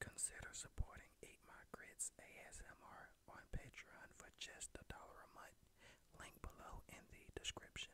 Consider supporting Eat My Grits ASMR on Patreon for just a dollar a month. Link below in the description.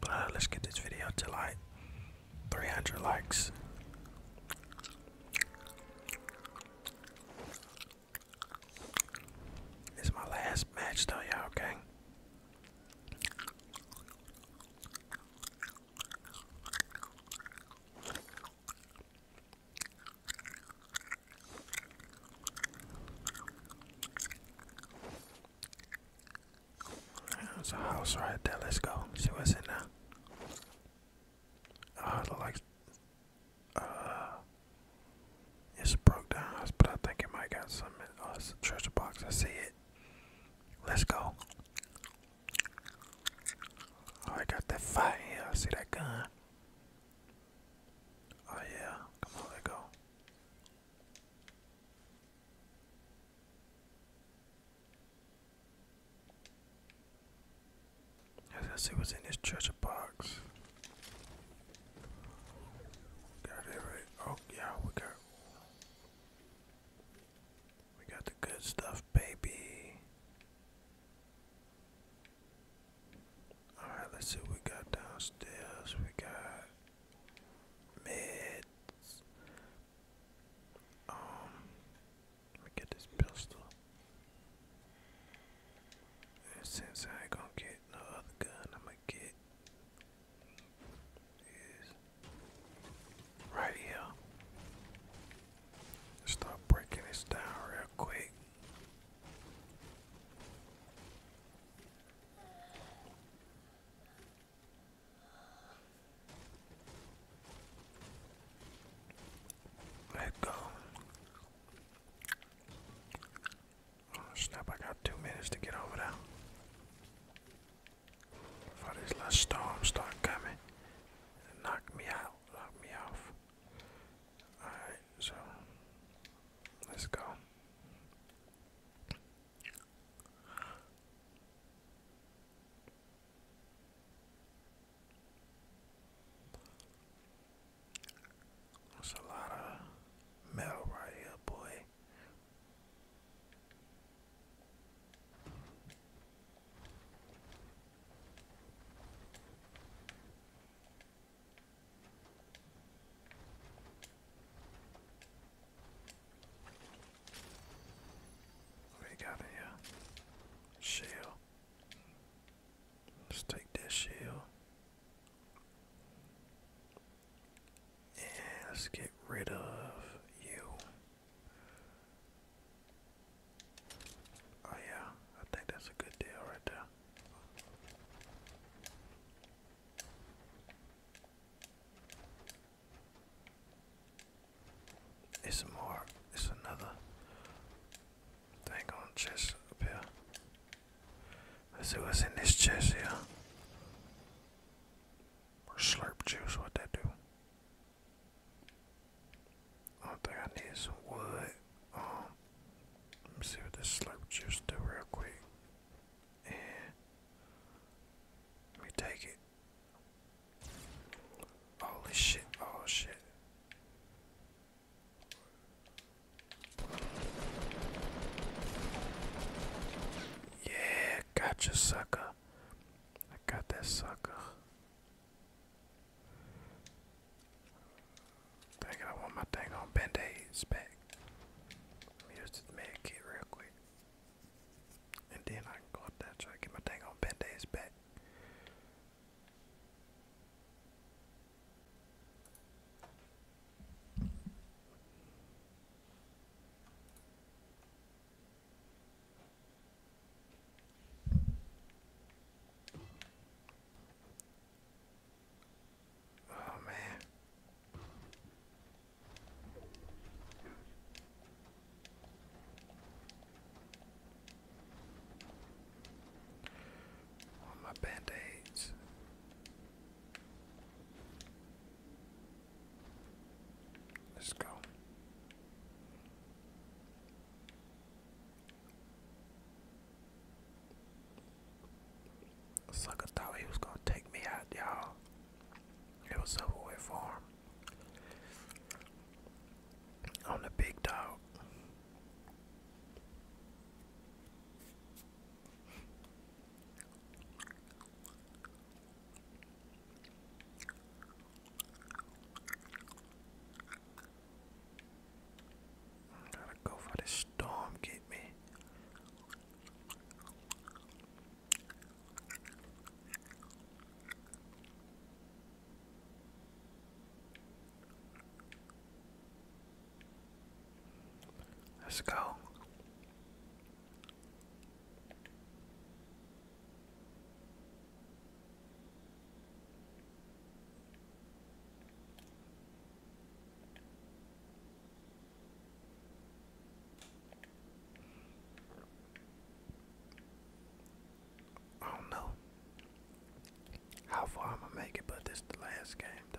But uh, let's get this video to like 300 likes. It's my last match though, y'all, okay? There's a house right there. Let's go. See what's in there. Uh, it like uh, it's broke down house, but I think it might got some. In, oh, it's a treasure box. I see it. Let's go. Oh, I got that fire. see that gun. Oh, yeah. Come on, let go. Let's see what's in this treasure box. Got it right. Oh, yeah, we got. We got the good stuff, baby. Alright, let's see what we got downstairs. We got meds. Um, let me get this pistol. And since I ain't gonna get no other gun, I'm gonna get right here. Start breaking this down real quick. Let go. Oh, snap, I got two minutes to get over there. For this last storm start coming. And knock me out, knock me off. Alright, so let's go. That's a lot of metal right here, boy way. got in Shell. Let's take that shell. Yeah, let's get rid of you. Oh yeah, I think that's a good deal right there. more, it's another thing on chest here. Let's see in this chest here. Or slurp juice, what that do? I think I need some wood. Um, let me see what this slurp juice do real quick. And let me take it. Holy shit, oh shit. Yeah, I got you, sucker. I got that sucker. I I want my thing on band-aids back. Let me use this med real quick. And then I can go try to get my thing on band-aids back. Oh man. my band-aids. Let's go. Sucker thought he was gonna take me out, y'all. It was over for him. I'm the big dog. Gotta go for this storm, get me. Let's go. I don't know how far I'm gonna make it, but this is the last game, though.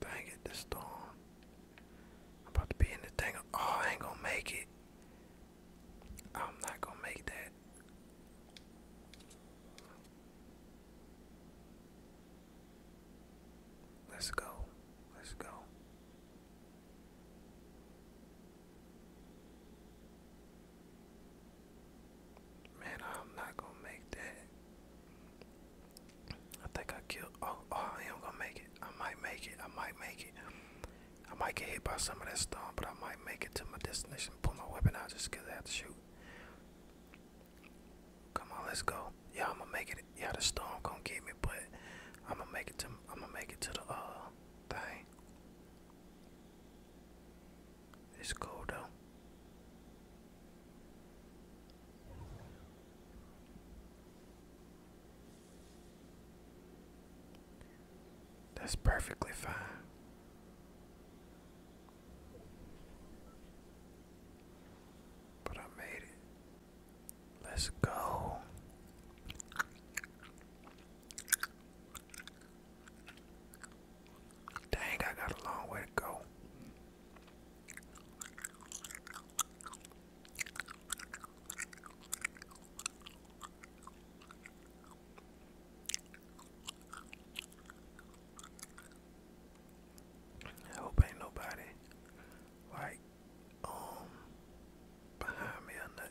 Dang it, this storm. about to be in the thing. Oh, I ain't gonna make it. I'm not gonna make that. Let's go. Let's go. Man, I'm not gonna make that. I think I killed. Oh, oh, I am gonna make it. I might make it. I might make it. I might get hit by some of that storm, but I might make it to my destination. Pull my weapon out just because I have to shoot. Come on, let's go. Yeah, I'm gonna make it. Yeah, the storm gonna get me, but I'm gonna make it to. I'm gonna make it to the uh thing. It's cold though. That's perfectly fine. But I made it. Let's go. Dang, I got a long way to go. I hope ain't nobody like um behind me or nothing.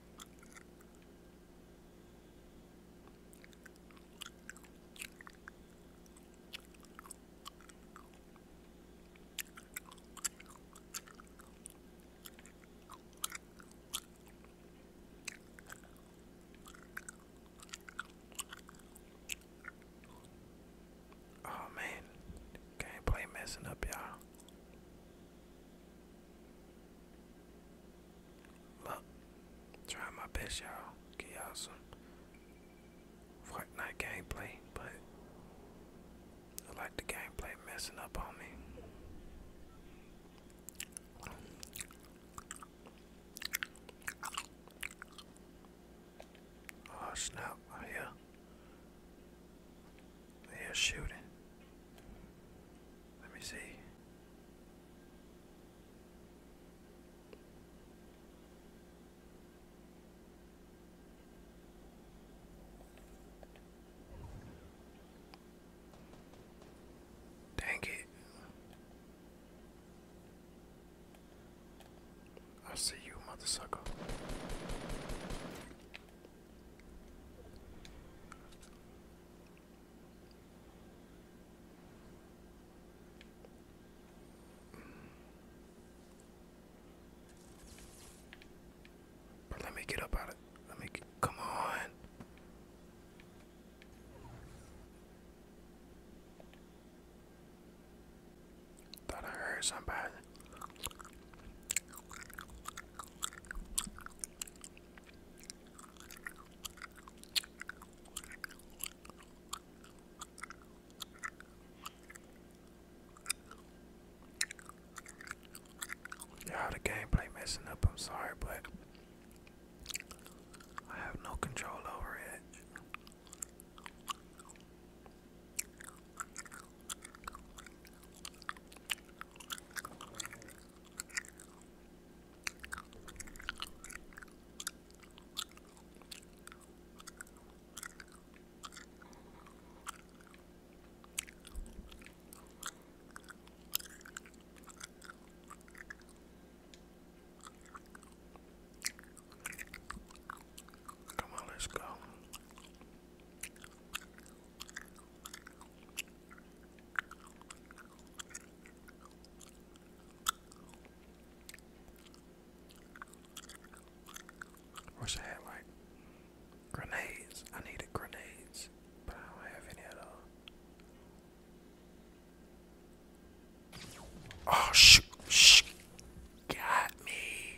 Oh man, gameplay messing up y'all. Look, try my best, y'all. Get y'all some Fortnite gameplay, but I like the gameplay messing up on me. Oh snap! Oh yeah. They're shooting. Let me see. Dang it. I see you, mother let me get up out of let me come on. Thought I heard somebody. Yeah, the gameplay messing up. I'm sorry, but I have no control over it. Come on, let's go. Wish I had like grenades. I needed grenades, but I don't have any at all. Oh shoot! Sh got me.